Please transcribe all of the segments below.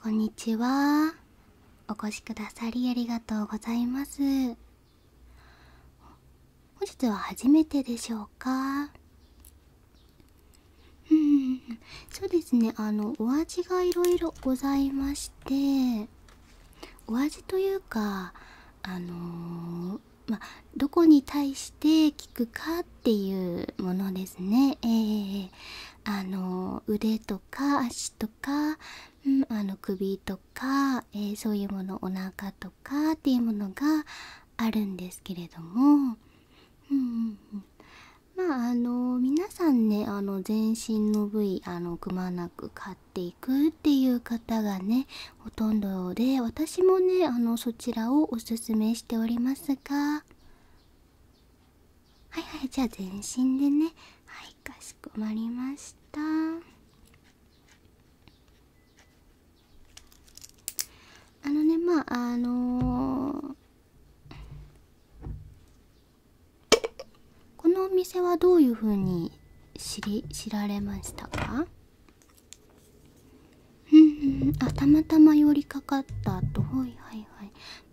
こんにちはお越しくださりありがとうございます本日は初めてでしょうかうんそうですねあのお味がいろいろございましてお味というかあのー、まどこに対して聞くかっていうものですねええ。あの腕とか足とか、うん、あの首とか、えそういうものお腹とかっていうものがあるんですけれども、うんまあの皆さんねあの全身の部位あのくまなく買っていくっていう方がねほとんどで私もねあのそちらをおすすめしておりますがはいはいじゃあ全身でねはいかしこまりましたあのねまああのこのお店はどういうふうに知り知られましたかうんうたまたま寄りかかったとはいはい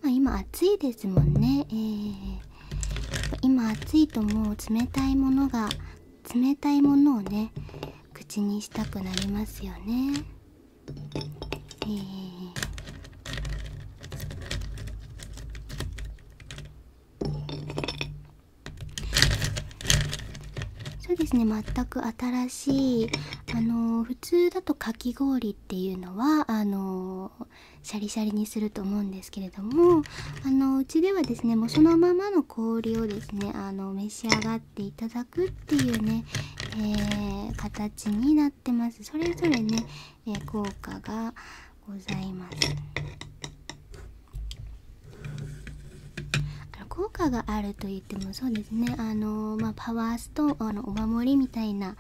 はいまあ今暑いですもんねえー、今暑いともう冷たいものが冷たいものをね口にしたくなりますよねえー、そうですね全く新しいあの普通だとかき氷っていうのはあのシャリシャリにすると思うんですけれどもあのうちではですねもうそのままの氷をですねあの召し上がっていただくっていうね、え形になってますそれぞれね、え効果がございます。いってもそうですねあの、まパワーストーンのお守りみたいな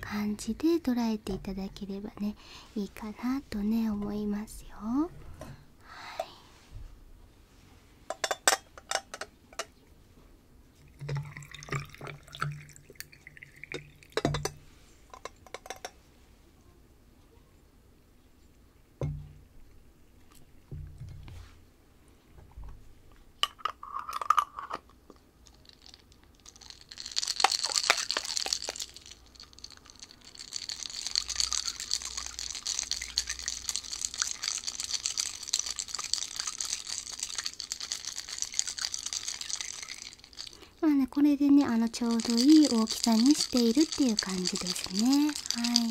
感じで捉えていただければねいいかなとね思いますよ。はいまあね、これでね、あの、ちょうどいい大きさにしているっていう感じですね。はい。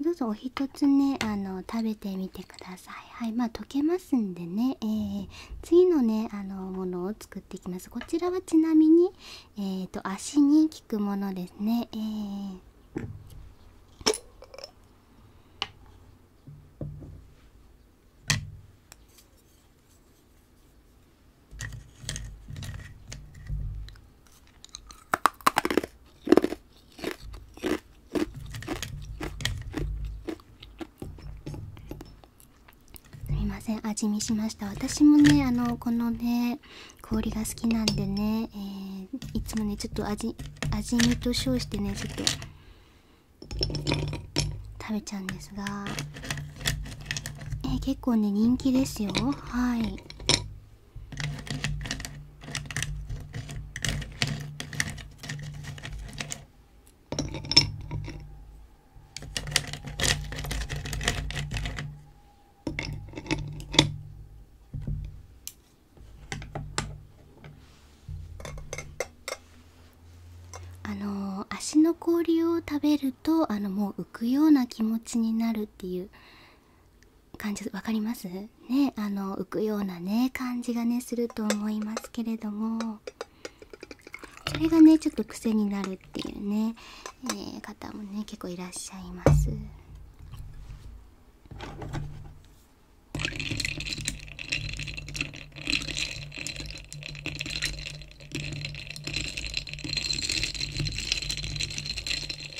どうぞお一つねあの食べてみてくださいはいまあ溶けますんでね、えー、次のねあのものを作っていきますこちらはちなみにえー、と足に効くものですねえーすいません味見しました私もねあのこのね氷が好きなんでね、えいつもねちょっと味味味と称してねちょっと食べちゃうんですが、え結構ね人気ですよはいあの足の氷を食べるとあのもう浮くような気持ちになるっていう感じ分かりますねあの浮くようなね感じがねすると思いますけれどもそれがねちょっと癖になるっていうね、えー、方もね結構いらっしゃいます。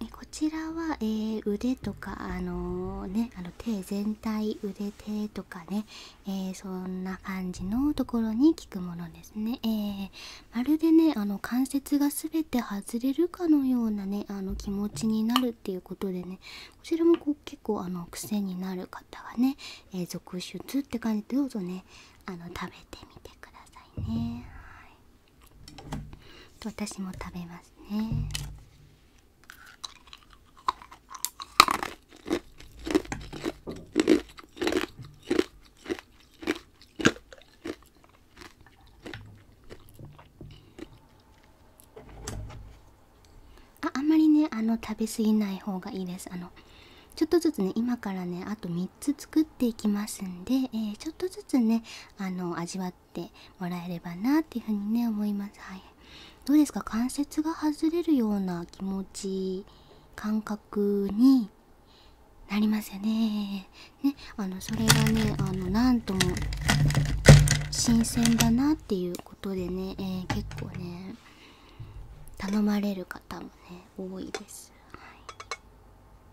えこちらは、え腕とか、あのね、あの手全体腕手とかね、えそんな感じのところに効くものですね、えー、まるでねあの関節が全て外れるかのようなねあの気持ちになるっていうことでねこちらもこう結構あの癖になる方はね、え続出って感じでどうぞねあの食べてみてくださいね。はい私も食べますねああんまりねあの食べ過ぎない方がいいですあのちょっとずつね今からねあと3つ作っていきますんで、えちょっとずつねあの味わってもらえればなっていうふにね思いますはいどうですか関節が外れるような気持ち感覚になりますよねねあのそれがねあのなんとも新鮮だなっていうことでね、え結構ね頼まれる方もね多いです、はい、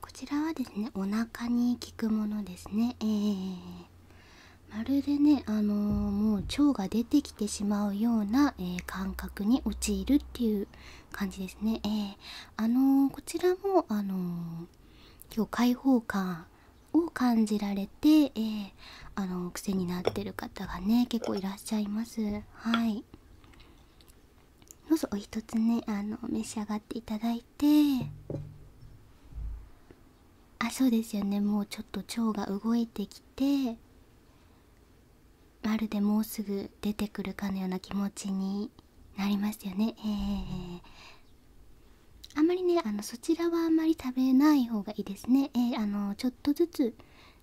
こちらはですねお腹に効くものですねえー、まるでねあのもう腸が出てきてしまうような、え感覚に陥るっていう感じですねえー、あのこちらもあの今日開放感を感じられて、えあの癖になってる方がね結構いらっしゃいますはいどうお一つねあの召し上がっていただいてあそうですよねもうちょっと腸が動いてきてまるでもうすぐ出てくるかのような気持ちになりますよねえー、あんまりねあのそちらはあんまり食べない方がいいですねえあのちょっとずつ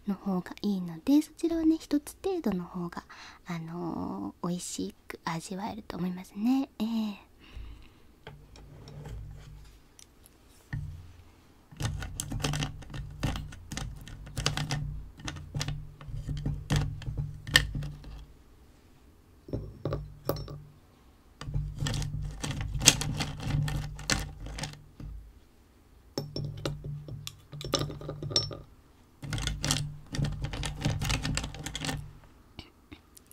の方がいいのでそちらはね1つ程度の方があの美味しく味わえると思いますねえー、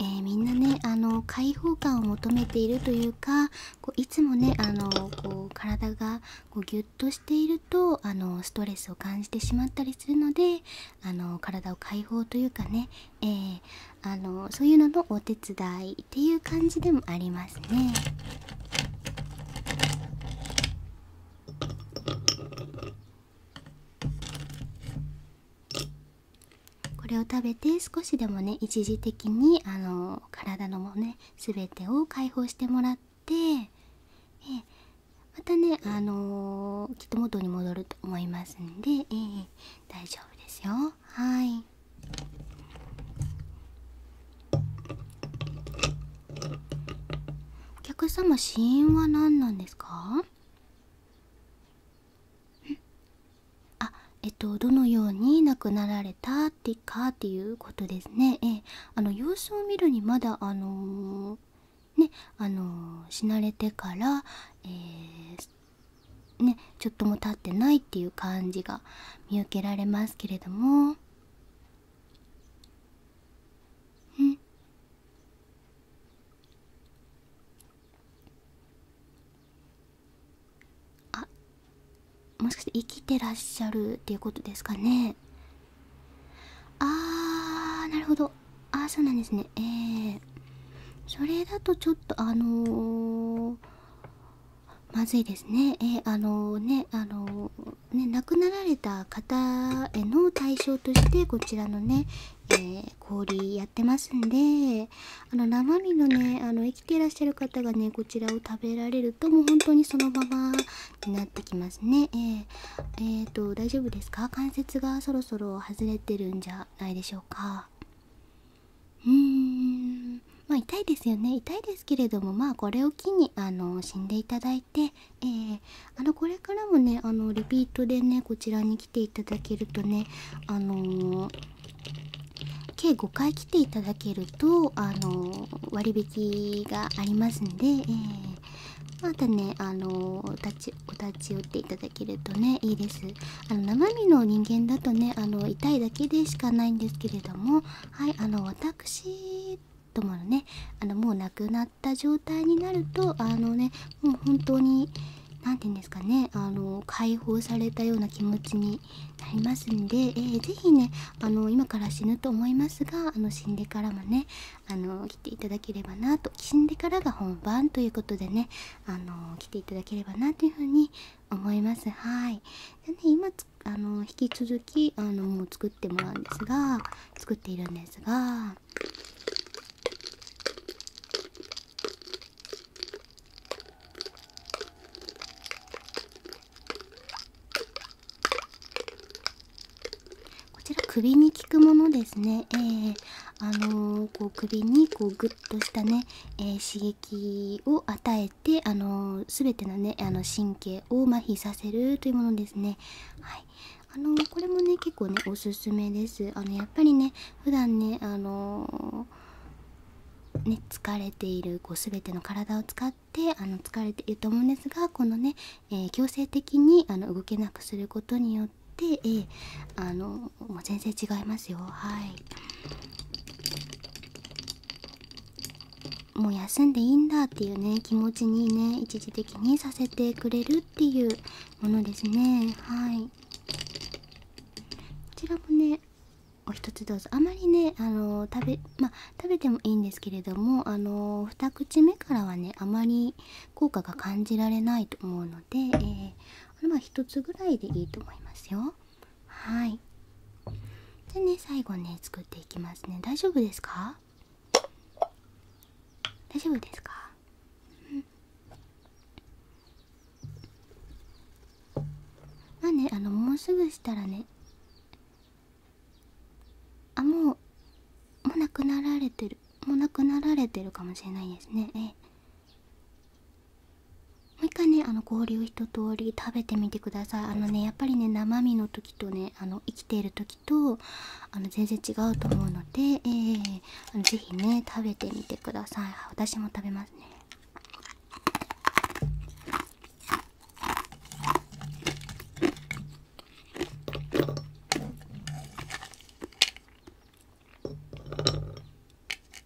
えみんなねあの開放感を求めているというかこういつもねあのこう体がこうギュッとしているとあのストレスを感じてしまったりするのであの体を解放というかね、えあのそういうののお手伝いっていう感じでもありますね。これを食べて少しでもね一時的にあの体のね全てを解放してもらってえまたねあのきっと元に戻ると思いますんで、え大丈夫ですよはい。お客様死因は何なんですかあえっとどのように亡くなられたってかっていうことですねええあの様子を見るにまだあのねあの死なれてからえねちょっとも経ってないっていう感じが見受けられますけれどもうんあもしかして生きてらっしゃるっていうことですかねあーなるほどああそうなんですねええそれだとちょっとあのまずいですね。えあのね、あのね、亡くなられた方への対象として、こちらのね、え氷やってますんで、あの、生身のね、あの、生きていらっしゃる方がね、こちらを食べられると、もう本当にそのままになってきますね。えー、えー、と、大丈夫ですか関節がそろそろ外れてるんじゃないでしょうか。うん。ま痛いですよね痛いですけれどもまあこれを機にあの死んでいただいて、えあのこれからもねあのリピートでねこちらに来ていただけるとねあの計5回来ていただけるとあの割引がありますんで、えまたねあのお立ちお立ち寄っていただけるとねいいですあの生身の人間だとねあの痛いだけでしかないんですけれどもはいあのくしともねあのもう亡くなった状態になるとあのねもう本当に何て言うんですかねあの解放されたような気持ちになりますんで、えー、ぜひねあの今から死ぬと思いますがあの死んでからもねあの来ていただければなと死んでからが本番ということでねあの来ていただければなというふうに思いますはいで、ね、今あの引き続きあの作ってもらうんですが作っているんですがこちら首に効くものですね。あの首にこうグッとしたね、刺激を与えて。てあの全てのねあの神経を麻痺させるというものですね。はいあのこれもね結構ねおすすめですあのやっぱりね普段ねあのね疲れているこう全ての体を使ってあの疲れていると思うんですがこのね、え強制的にあの動けなくすることによって、えあのもう全然違いますよはい。もう休んでいいんだっていうね気持ちにね一時的にさせてくれるっていうものですねはいこちらもねお一つどうぞあまりねあの食べま食べてもいいんですけれどもあの2口目からはねあまり効果が感じられないと思うので、えま1つぐらいでいいと思いますよはいじゃあね最後ね作っていきますね大丈夫ですか大丈夫ですか、うんまあねあのもうすぐしたらねあもうもうなくなられてるもうなくなられてるかもしれないですねええもう一回ねあの氷を一通り食べてみてくださいあのねやっぱりね生身の時とねあの生きている時とあの全然違うと思うので、えー、あのぜひね食べてみてください私も食べますね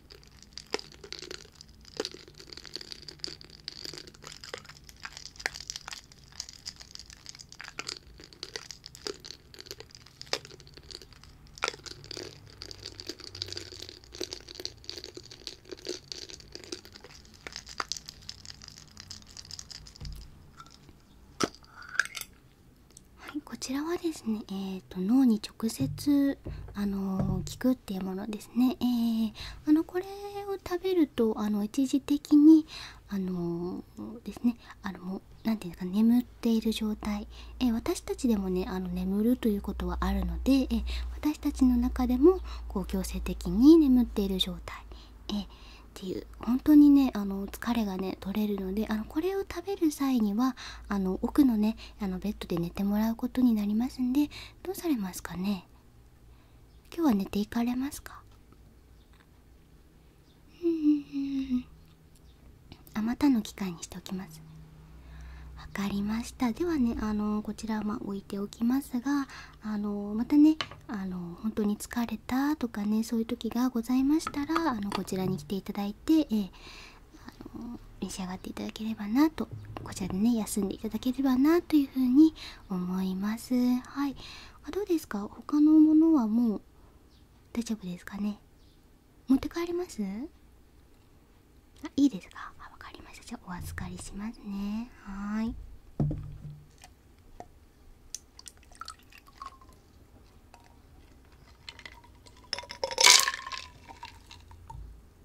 はいこちらはですね脳に直接あ効くっていうものですね、えあのこれを食べるとあの一時的にあのですねあのもう何て言うか眠っている状態、え私たちでもねあの眠るということはあるので、え私たちの中でもこう強制的に眠っている状態、えっていう本当にねあの疲れがね取れるのであのこれを食べる際にはあの奥のねあのベッドで寝てもらうことになりますんでどうされますかね今日は寝ていかれますかあまたの機会にしておきますわかりましたではねあのこちらは置いておきますがあのまたねあの本当に疲れたとかねそういう時がございましたらあのこちらに来ていただいて、えあの召し上がっていただければなとこちらでね休んでいただければなというふうに思いますはいあどうですか他のものはもう大丈夫ですかね持って帰りますあいいですか分かりましたじゃあお預かりしますねはい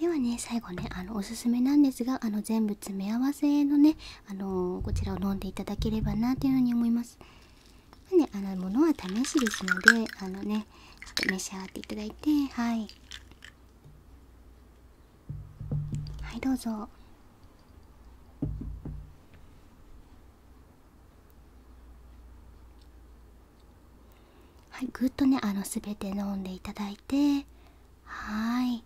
ではね最後ねあのおすすめなんですがあの全部詰め合わせのねあのこちらを飲んでいただければなというふうに思います。ね、あの物は試しですのであのねちょっと召し上がっていただいてはいはいどうぞはいぐっとねあの全て飲んでいただだはい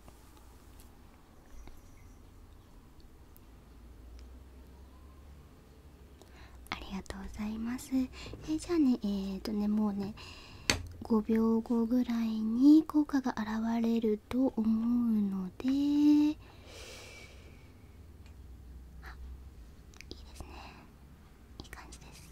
ありがとうございますえじゃあねえっとねもうね5秒後ぐらいに効果が現れると思うのでいいですねいい感じです